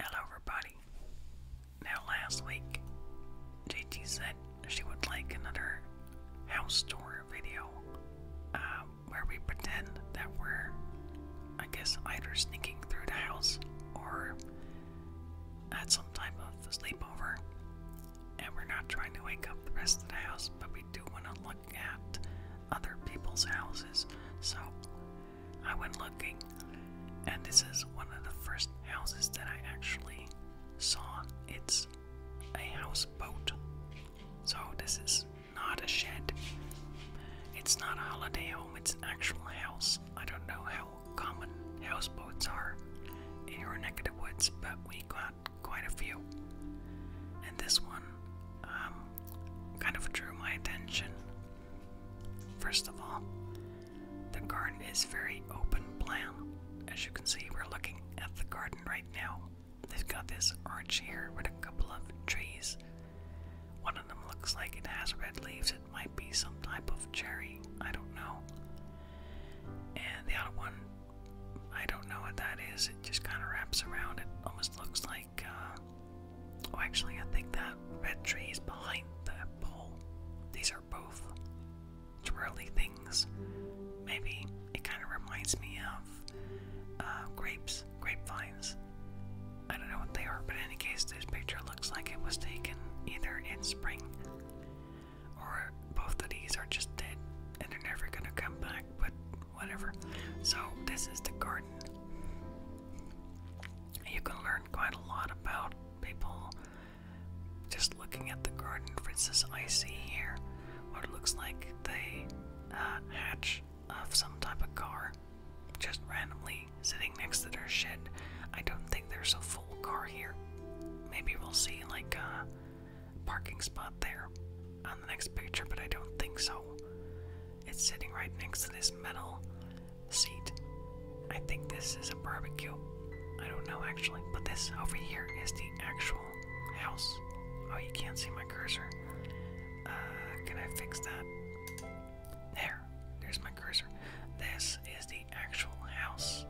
Hello, everybody. Now, last week, JT said she would like another house tour video uh, where we pretend that we're, I guess, either sneaking through the house or at some type of sleepover. And we're not trying to wake up the rest of the house, but we do want to look at other people's houses. So, I went looking, and this is one of the first houses that I actually saw. It's a houseboat. So, this is not a shed. It's not a holiday home, it's an actual house. I don't know how common houseboats are in your neck of the woods, but we got quite a few. And this one um, kind of drew my attention First of all, the garden is very open plan. As you can see, we're looking at the garden right now. They've got this arch here with a couple of trees. One of them looks like it has red leaves. It might be some type of cherry. I don't know. And the other one, I don't know what that is. It just kind of wraps around. It almost looks like uh, oh, actually, I think that red tree is behind that pole. These are both twirly things. Maybe it kind of reminds me of uh, grapes, grapevines. I don't know what they are, but in any case, this picture looks like it was taken either in spring or both of these are just dead and they're never gonna come back, but whatever. So, this is the garden. You can learn quite a lot about people just looking at the garden. For instance, I see here what looks like the uh, hatch of some type of car just randomly sitting next to their shed. I don't think there's a full car here. Maybe we'll see like a parking spot there on the next picture, but I don't think so. It's sitting right next to this metal seat. I think this is a barbecue. I don't know actually, but this over here is the actual house. Oh, you can't see my cursor. Uh, can I fix that? There, there's my cursor. This is the actual house.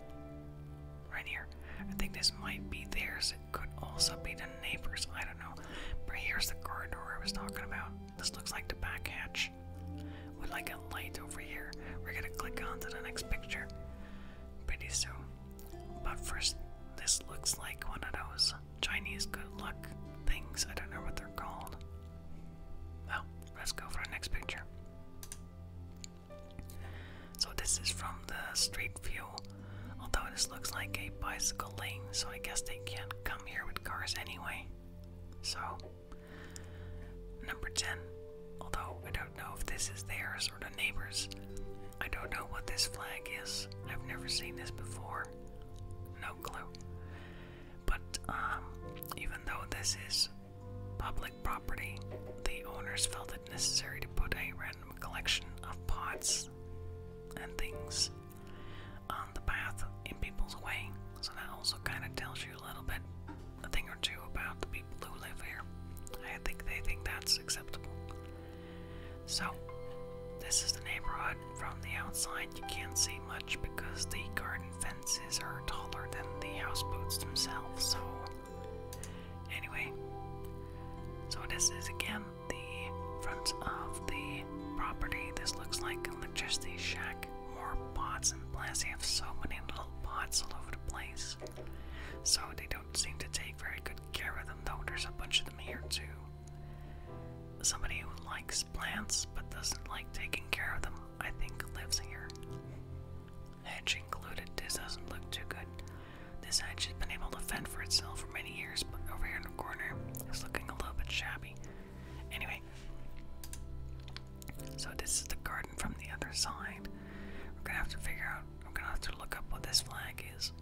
Right here. I think this might be theirs. It could also be the neighbors. I don't know. But here's the corridor I was talking about. This looks like the back hatch. With like a light over here. We're gonna click on to the next picture pretty soon. But first, this looks like one of those Chinese good luck things. I don't know what they're called. Well, let's go for the next picture. So, this is from the Street View Although this looks like a bicycle lane, so I guess they can't come here with cars anyway. So, number 10. Although I don't know if this is theirs or the neighbors, I don't know what this flag is. I've never seen this before. No clue. But um, even though this is public property, the owners felt it necessary to put a random collection of pots and things on um, the path in people's way. So that also kind of tells you a little bit, a thing or two about the people who live here. I think they think that's acceptable. So, this is the neighborhood. From the outside, you can't see much because the garden fences are taller than the houseboats themselves. So, anyway, so this is again the front of the property. This looks like an electricity shack. More pots and plants. They have so many little pots all over the place. So they don't seem to take very good care of them, though there's a bunch of them here too. Somebody who likes plants but doesn't like taking care of them, I think, lives here. Hedge included. This doesn't look too good. This hedge has been able to fend for itself for many years, but over here in the corner, it's looking a little bit shabby. Anyway, so this is the garden from the other side. We're gonna have to figure out, we're gonna have to look up what this flag is.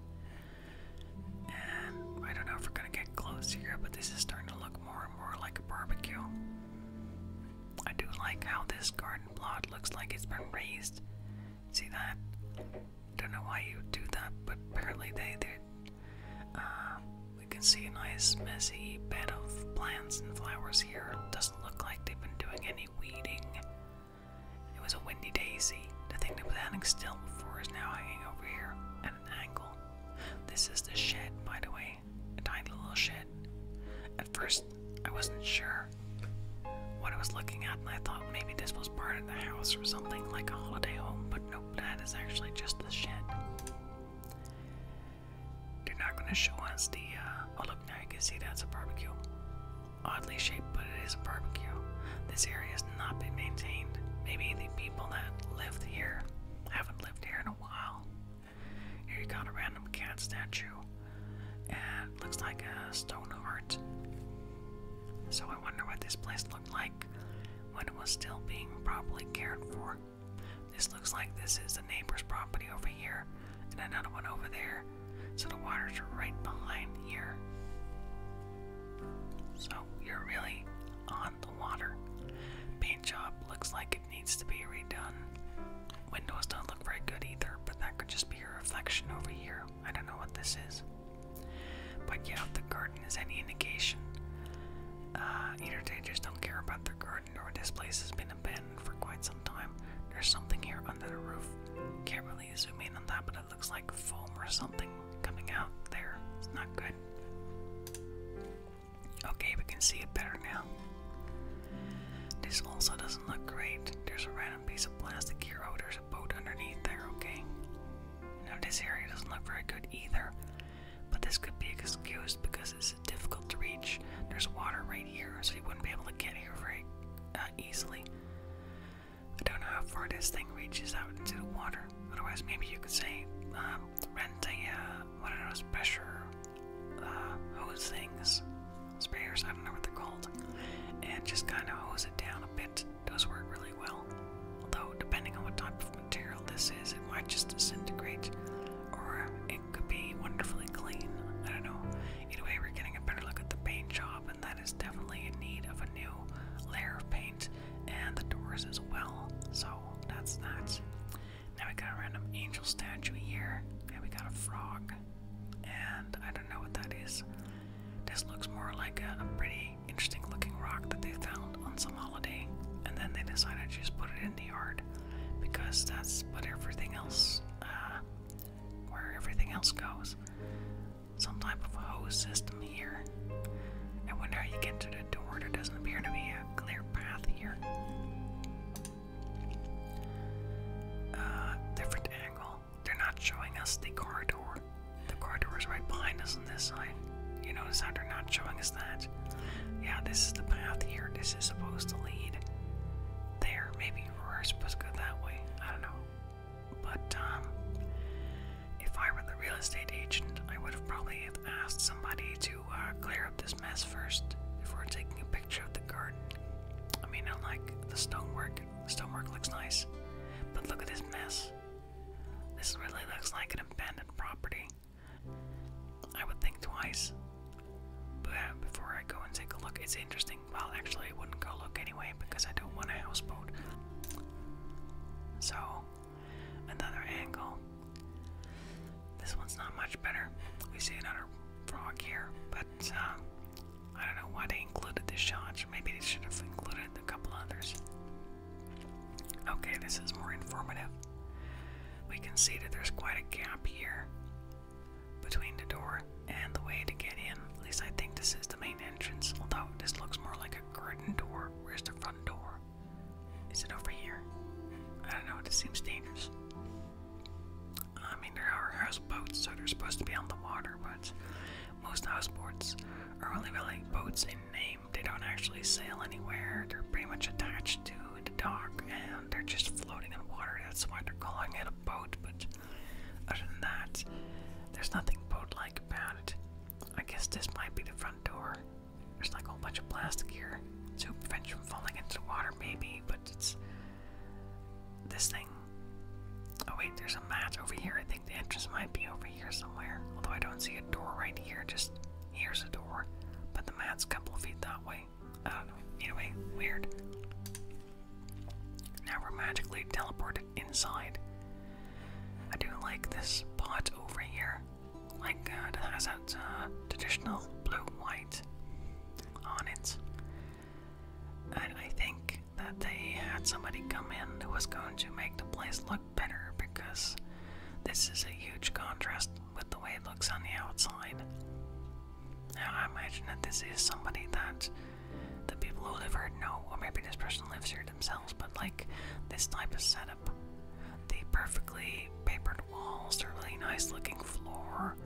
And I don't know if we're gonna get close here, but this is starting to look more and more like a barbecue. I do like how this garden plot looks like it's been raised. See that? don't know why you would do that, but apparently they did. Uh, we can see a nice messy bed of plants and flowers here. Doesn't look like they've been doing any weeding. It was a windy daisy. The thing that was hanging still before is now hanging over here at an angle. This is the shed, by the way. A tiny little shed. At first, I wasn't sure what I was looking at I thought maybe this was part of the house or something, like a holiday home, but nope, that is actually just the shed. They're not going to show us the, uh, oh look, now you can see that's a barbecue. Oddly shaped, but it is a barbecue. This area has not been maintained. Maybe the people that lived here haven't lived here in a while. Here you got a random cat statue. And looks like a stone heart. So I wonder what this place looked like when it was still being properly cared for. This looks like this is a neighbor's property over here, and another one over there. So the waters are right behind here. So you're really on the water. Paint job looks like it needs to be redone. Windows don't look very good either, but that could just be a reflection over here. I don't know what this is. But yeah, the garden is any negation. uh, either they just don't care about the garden or this place has been abandoned for quite some time. There's something here under the roof. Can't really zoom in on that, but it looks like foam or something coming out there. It's not good. Okay, we can see it better now. This also doesn't look great. There's a random piece of plastic here. Oh, there's boat underneath there, okay? Now, this area doesn't look very good either, but this could be excused because it's difficult to reach. There's water right here, so you wouldn't be able to get here very uh, easily. I don't know how far this thing reaches out into the water. Otherwise, maybe you could say, um, rent a, uh, one those pressure uh, hose things, sprayers, I don't know what they're called, and just kind of hose it down a bit does work really well. Although, depending on what type of material this is, it might just disintegrate, or it could be wonderfully clean. I don't know. Either we're getting a better look at the paint job, and that is definitely in need of a new layer of paint, and the doors as well. So that's that. Now we got a random angel statue here, and we got a frog and I don't know what that is. This looks more like a, pretty interesting looking rock that they found on some holiday, and then they decided to just put it in the yard because that's what everything else, uh, where everything else goes. Some type of hose system here. And when you get to the door, there doesn't appear to be a clear path here. Uh, different angle they're not showing us the corridor. The corridor is right behind us on this side. You notice how they're not showing us that? Yeah, this is the path here. This is supposed to lead there. Maybe we're supposed to go that way. I don't know. But, um, if I were the real estate agent, I would have probably have asked somebody to uh, clear up this mess first before taking a picture of the garden. I mean, I like the stonework Stone Stonework looks nice, but look at this mess. This really looks like an abandoned property. I would think twice. But uh, before I go and take a look, it's interesting. Well, actually, I wouldn't go look anyway because I don't want a houseboat. So, another angle. This one's not much better. We see another frog here, but uh, I don't know why they included the shots. Maybe they should have included a couple others. Okay, this is more informative. We can see that there's quite a gap here between the door and the way to get in. At least I think this is the main entrance, although this looks more like a curtain door. Where's the front door? Is it over here? I don't know, this seems dangerous. I mean, there are houseboats, so they're supposed to be on the water, but most houseboats are only really boats in name. They don't actually sail anywhere. They're pretty much attached to the dock, and they're just floating in water. That's why they're calling it a boat. But other than that, there's nothing boat-like about it. I guess this might be the front door. There's like a whole bunch of plastic here to prevent you from falling into the water, maybe it's this thing. Oh wait, there's a mat over here. I think the entrance might be over here somewhere. Although I don't see a door right here, just here's a door. But the mat's a couple of feet that way. I don't know. Anyway, weird. Now we're magically teleported inside. I do like this pot over here. Like, God, uh, it has that uh, traditional blue white on it. I think that they had somebody come in who was going to make the place look better because this is a huge contrast with the way it looks on the outside. Now, I imagine that this is somebody that the people who live here know, or maybe this person lives here themselves, but like this type of setup. The perfectly papered walls, the really nice looking floor,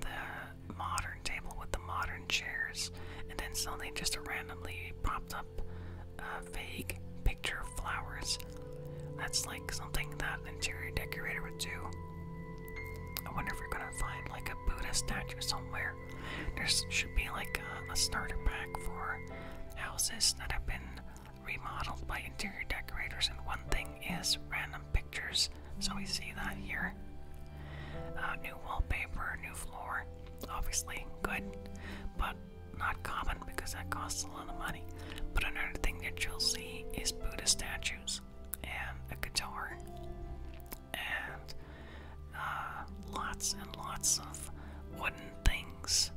the modern table with the modern chairs, and then suddenly just a randomly popped up uh, vague picture of flowers. That's like something that an interior decorator would do. I wonder if we're gonna find like a Buddha statue somewhere. There should be like a starter pack for houses that have been remodeled by interior decorators, and one thing is random pictures. So we see that here. Uh, new wallpaper, new floor, obviously good, but not common because that costs a lot of money. But another thing that you'll see is Buddha statues and a guitar and uh, lots and lots of wooden things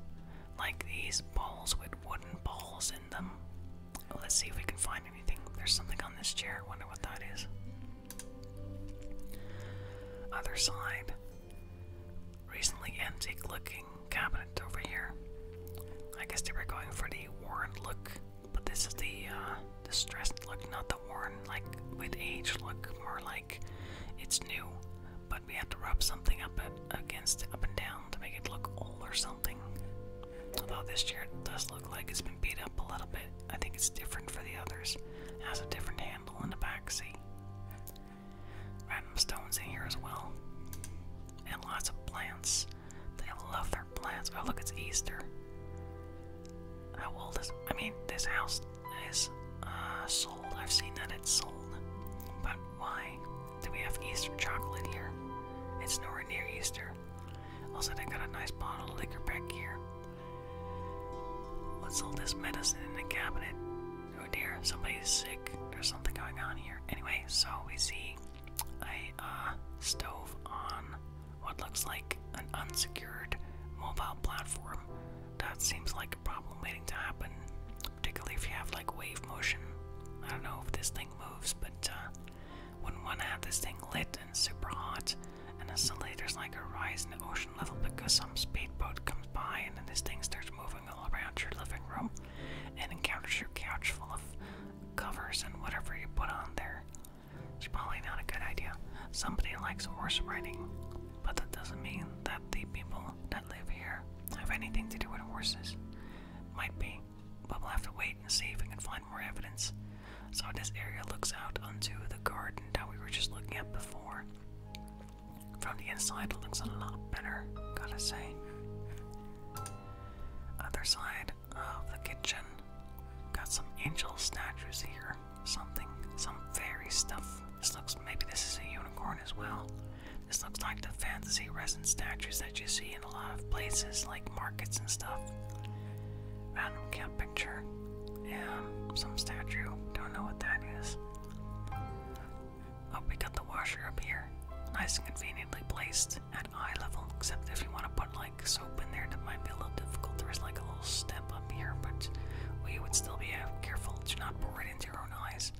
like these bowls with wooden balls in them Let's see if we can find anything. There's something on this chair. I wonder what that is. Other side. Recently antique looking cabinet over here. I guess they were going for the worn look, but this is the uh, distressed look, not the worn, like with age look. More like it's new, but we have to rub something up at, against up and down to make it look old or something. Although this chair does look like it's been beat up a little bit, I think it's different for the others. has a different handle in the back seat. Random stones in here as well. And lots of plants. They love their plants. Oh, look, it's Easter. How old is. I mean, this house is uh, sold. I've seen that it's sold. But why do we have Easter chocolate here? It's nowhere near Easter. Also, they got a nice bottle of liquor back here. What's all this medicine in the cabinet? Oh dear, somebody's sick. There's something going on here. Anyway, so we see a uh, stove on what looks like an unsecured mobile platform. That seems like a problem waiting to happen, particularly if you have like wave motion. I don't know if this thing moves, but uh, when one had this thing lit and super hot, and as the later's like a rise in the ocean level because some speedboat comes by and then this thing starts moving all around your living room and encounters your couch full of covers and whatever you put on there. It's probably not a good idea. Somebody likes horse riding, but that doesn't mean that the people that live here have anything to do with horses. Might be but we'll have to wait and see if we can find more evidence. So this area looks out onto the garden that we were just looking at before. From the inside, it looks a lot better, gotta say. Other side of the kitchen, got some angel statues here. Something, some fairy stuff. This looks, maybe this is a unicorn as well. This looks like the fantasy resin statues that you see a lot of places like markets and stuff. Random cat picture. Yeah, some statue. Don't know what that is. Oh, we got the washer up here. Nice and conveniently placed at eye level, except if you want to put like soap in there, that might be a little difficult. There's like a little step up here, but we would still be uh, careful to not pour it into your own eyes.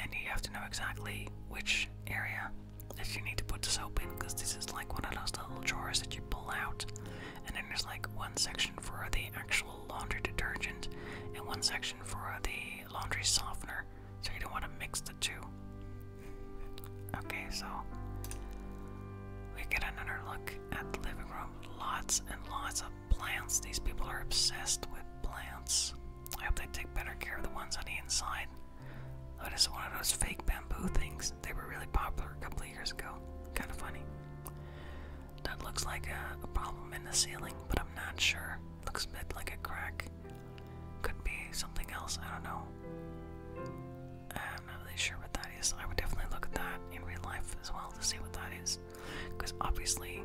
And you have to know exactly which area you need to put the soap in because this is like one of those little drawers that you pull out and then there's like one section for the actual laundry detergent and one section for the laundry softener so you don't want to mix the two okay so we get another look at the living room lots and lots of plants these people are obsessed with plants i hope they take better care of the ones on the inside Oh, one of those fake bamboo things. They were really popular a couple of years ago. Kind of funny. That looks like a problem in the ceiling, but I'm not sure. Looks a bit like a crack. Could be something else. I don't know. I'm not really sure what that is. I would definitely look at that in real life as well to see what that is. Because obviously,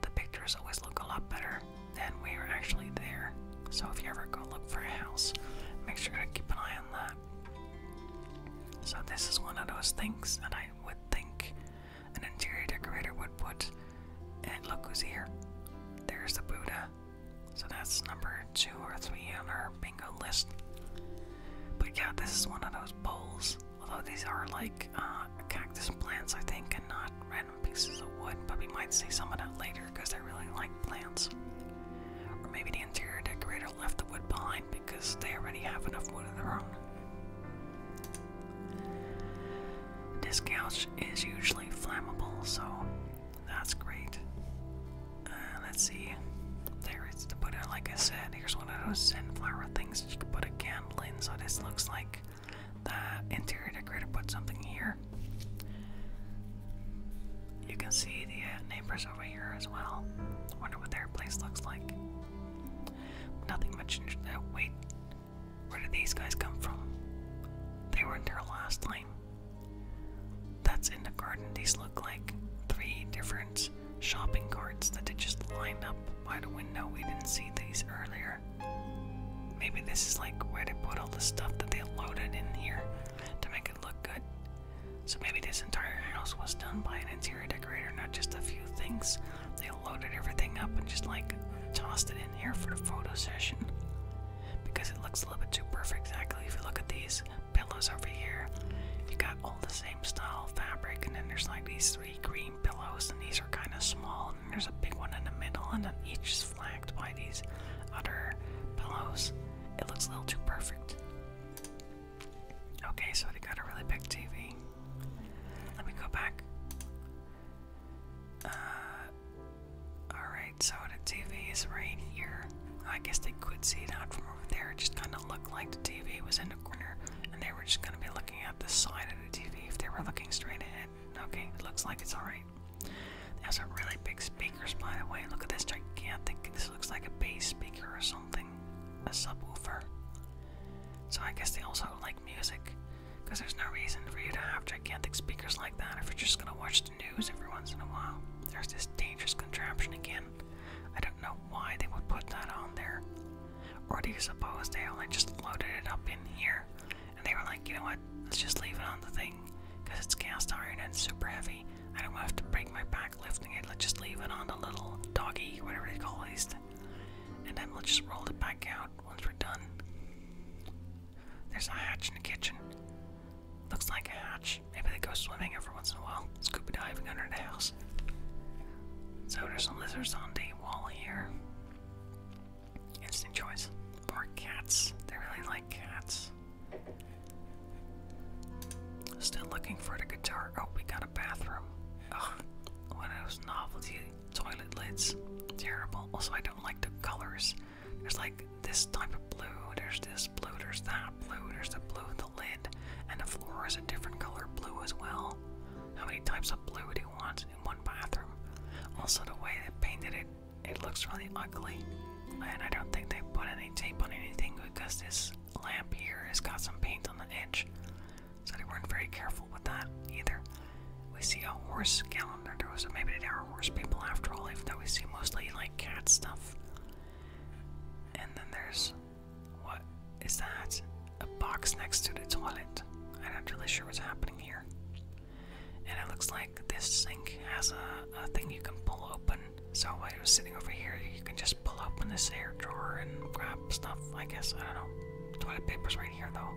the pictures always look a lot better and we are actually there. So if you ever go look for a house, make sure to keep an eye on that. So this is one of those things that I would think an interior decorator would put. And look who's here. There's the Buddha. So that's number two or three on our bingo list. But yeah, this is one of those bowls. Although these are like uh, cactus plants, I think, and not pieces of wood, but we might see some of that later because I really like plants. Or maybe the interior decorator left the wood behind because they already have enough wood of their own. This couch is usually flammable, so that's great. Uh, let's see. There is to put it, like I said, here's one of those sunflower things you can put a candle in, so this looks like the interior decorator put something here. You can see the uh, neighbors over here as well. Wonder what their place looks like. Nothing much. Uh, wait, where did these guys come from? They weren't there last time. That's in the garden. These look like three different shopping carts that they just lined up by the window. We didn't see these earlier. Maybe this is like where they put all the stuff that they loaded in here to make it look good. So maybe this entire house was done by an interior decorator, not just a few things. They loaded everything up and just like tossed it in here for the photo session. Because it looks a little bit too perfect, exactly. If you look at these pillows over here, you got all the same style fabric, and then there's like these three green pillows, and these are kind of small there's a big one in the middle, and then each is flanked by these other pillows. It looks a little too perfect. Okay, so they got a really big TV. Let me go back. Uh, alright, so the TV is right here. I guess they could see that from over there. It just kind of looked like the TV was in the corner, and they were just going to be looking at the side of the TV if they were looking straight ahead. Okay, it looks like it's alright. That's a really big speaker, by the way. Look at this gigantic, this looks like a bass speaker or something, a subwoofer. So I guess they also like music, because there's no reason for you to have gigantic speakers like that if you're just gonna watch the news every once in a while. There's this dangerous contraption again. I don't know why they would put that on there. Or do you suppose they only just loaded it up in here and they were like, you know what, let's just leave it on the thing because it's cast iron and it's super heavy. I don't have to break my back lifting it. Let's just leave it on the little doggy, whatever they call these, and then we'll just roll it back out once we're done. There's a hatch in the kitchen. Looks like a hatch. Maybe they go swimming every once in a while, scuba diving under the house. So there's some lizards on the wall here. Instant choice. More cats. They really like cats. Still looking for the guitar. Oh, we got a bathroom. Ugh, one of those novelty toilet lids. Terrible. Also, I don't like the colors. There's like this type of blue, there's this blue, there's that blue, there's the blue in the lid, and the floor is a different color blue as well. How many types of blue do you want? one bathroom. Also, the way they painted it, it looks really ugly. And I don't think they put any tape on anything because this lamp here has got some paint on the edge. So they weren't very careful with that either. We see a horse galloping calendar, so maybe they are horse people after all, even though we see mostly like cat stuff. And then there's what is that? A box next to the toilet. I'm not really sure what's happening here and it looks like this sink has a, a thing you can pull open. So while you're sitting over here, you can just pull open this air drawer and grab stuff. I guess I don't know. Toilet paper's right here though.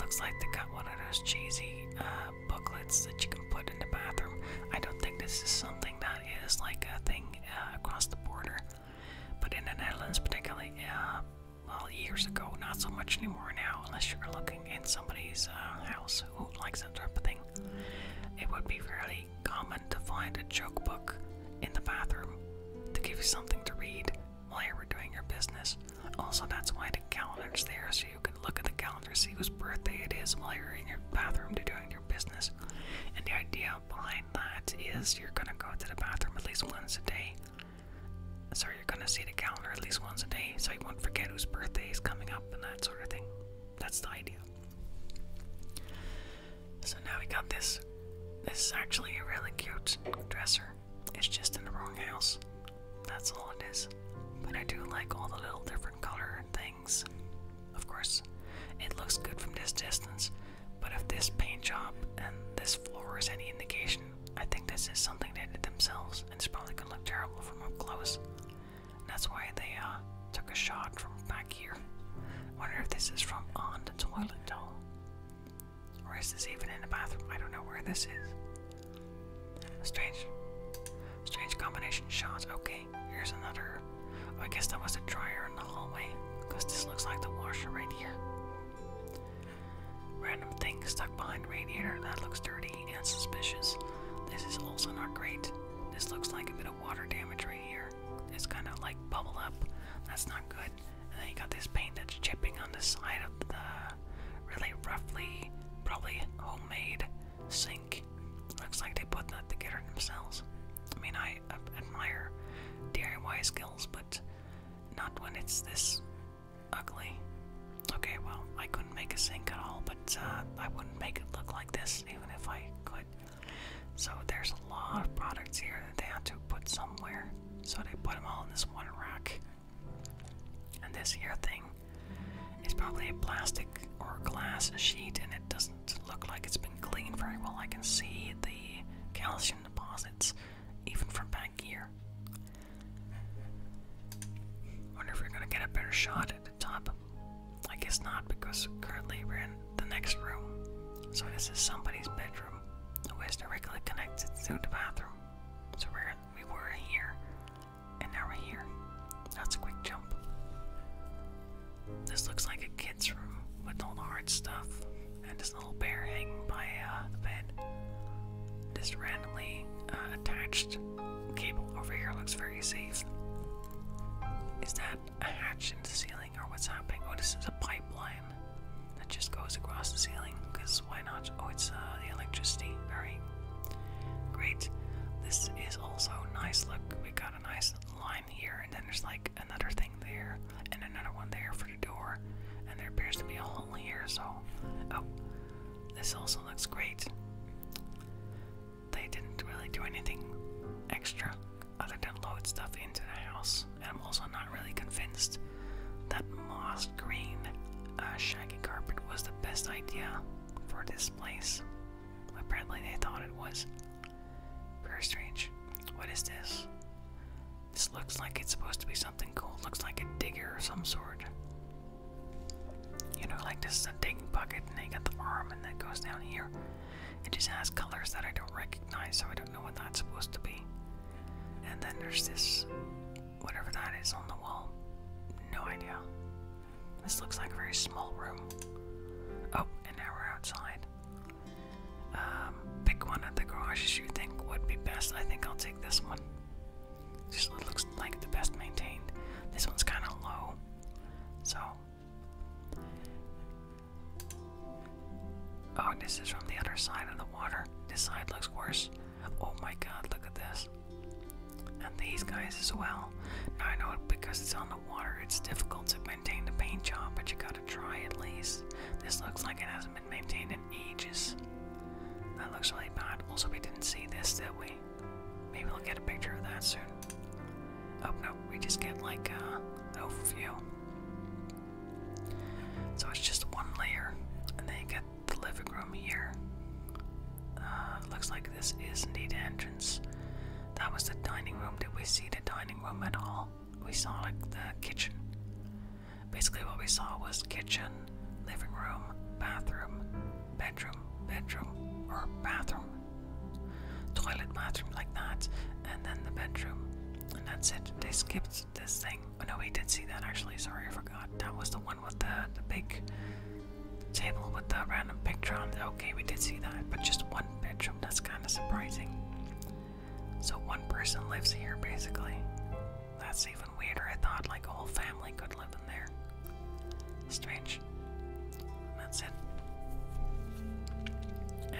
Looks like they got one of those cheesy uh, booklets that you can put in the bathroom. I don't think this is something that is like a thing uh, across the border, but in the Netherlands particularly, uh, well, years ago, not so much anymore now, unless you're looking in somebody's uh, house who likes that type of thing. It would be fairly common to find a joke book in the bathroom to give you something to read while you were doing your business. Also, that's why the calendar's there, so you can look at the calendar, see whose birthday it is while you're in your bathroom to doing your business. And the idea behind that is you're gonna go to the bathroom at least once a day so you're gonna see the calendar at least once a day, so you won't forget whose birthday is coming up and that sort of thing. That's the idea. So now we got this. This is actually a really cute dresser. It's just in the wrong house. That's all it is. But I do like all the little different color things. Of course, it looks good from this distance, but if this paint job and this floor is any indication, I think this is something they did themselves, and it's probably gonna look terrible from up close. that's why they uh, took a shot from back here. I wonder if this is from on the toilet doll. Or is this even in the bathroom? I don't know where this is. Strange. Strange combination shots. Okay, here's another. I guess that was a dryer in the hallway. Because this looks like the washer right here. Random thing stuck behind radiator that looks dirty and suspicious. This is also not great. This looks like a bit of water damage right here. It's kind of like bubble up. That's not good. And then you got this paint that's chipping on the side of the really roughly, probably homemade sink. Looks like they put that together themselves. I mean, I admire DIY skills, but not when it's this ugly. Okay, well, I couldn't make a sink at all, but uh, I wouldn't make it look like this even if I could. So there's a lot of products here that they had to put somewhere. So they put them all in this one rack. And this here thing is probably a plastic or glass sheet, and it doesn't look like it's been cleaned very well. I can see the calcium deposits even from back here. Wonder if we're gonna get a better shot at the top. I guess not, because currently we're in the next room. So this is somebody's bedroom, The who is directly connected to the bathroom. So we're we were here, and now we're here. That's a quick jump. This looks like a kid's room with all the hard stuff, and this this little bear hanging by uh, the bed. Just randomly uh, attached cable over here looks very safe. Is that a hatch in the ceiling or what's happening? Oh, this is a pipeline that just goes across the ceiling because why not? Oh, it's uh, the electricity. Very great. This is also nice. Look, we got a nice line here, and then there's like another thing there, and another one there for door, and there appears to be a hole here, so. Oh, this also looks great. They didn't really do anything extra other than load stuff into the house, and I'm also not really convinced that moss green uh, shaggy carpet was the best idea for this place. Apparently, they thought it was. Very strange. What is this? This looks like it's supposed to be something cool. Looks like a digger or some sort. You know, like this is a digging bucket, and they got the arm, and that goes down here. It just has colors that I don't recognize, so I don't know what that's supposed to be. And then there's this, whatever that is on the wall. No idea. This looks like a very small room. Oh, and now we're outside. Um, pick one of the garages you think would be best. I think I'll take this one. Just looks like the best maintained. This one's kind of low, so. Oh, this is from the other side of the water. This side looks worse. Oh my god, look at this. And these guys as well. Now I know because it's on the water, it's difficult to maintained a paint job, but you gotta try at least. This looks like it hasn't been maintained in ages. That looks really bad. Also, we didn't see this, did we? Maybe we'll get a picture of that soon. Oh no, we just get like a overview. So it's just one layer, and then you get the living room here. Uh, looks like this is indeed the entrance. That was the dining room. Did we see the dining room at all? we saw like the kitchen. Basically, what we saw was kitchen, living room, bathroom, bedroom, bedroom, or bathroom, toilet, bathroom, like that, and then the bedroom, and that's it. They skipped this thing. Oh no, we did see that actually. Sorry, I forgot. That was the one with the the big table with the random picture on. It. Okay, we did see that, but just one bedroom. That's kind of surprising. So one person lives here basically. That's even weirder. I thought like a whole family could live in there. Strange. That's it.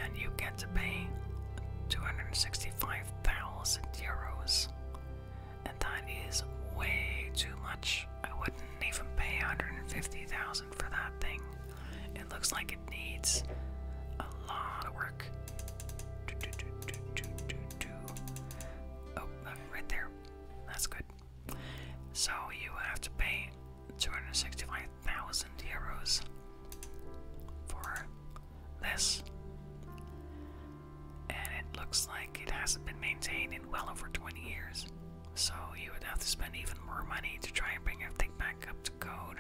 And you get to pay 265,000 euros. And that is way too much. I wouldn't even pay 150,000 for that thing. It looks like it needs a lot of work. Oh, uh, right there. That's good. So you would have to pay 265,000 euros for this. And it looks like it hasn't been maintained in well over 20 years. So you would have to spend even more money to try and bring it back up to code.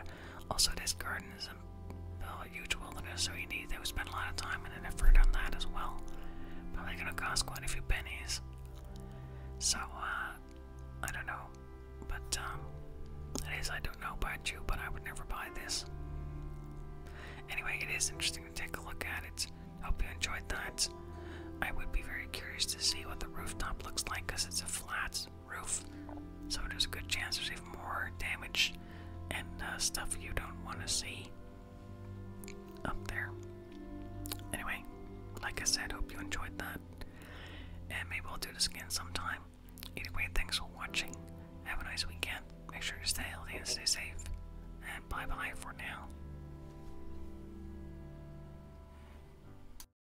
Also, this garden is a huge wilderness, so we need to spend a lot of time and effort on that as well. Probably gonna cost quite a few pennies. So, uh, I don't know. But, um, it is, I don't know about you, but I would never buy this. Anyway, it is interesting to take a look at it. Hope you enjoyed that. I would be very curious to see what the rooftop looks like because it's a flat roof. So there's a good chance there's even more damage and uh, stuff you don't want to see up there. Anyway, like I said, hope you enjoyed that. And maybe I'll do this again sometime. Anyway, thanks for watching. Have a nice weekend. Make sure you stay healthy and stay safe. And bye bye for now.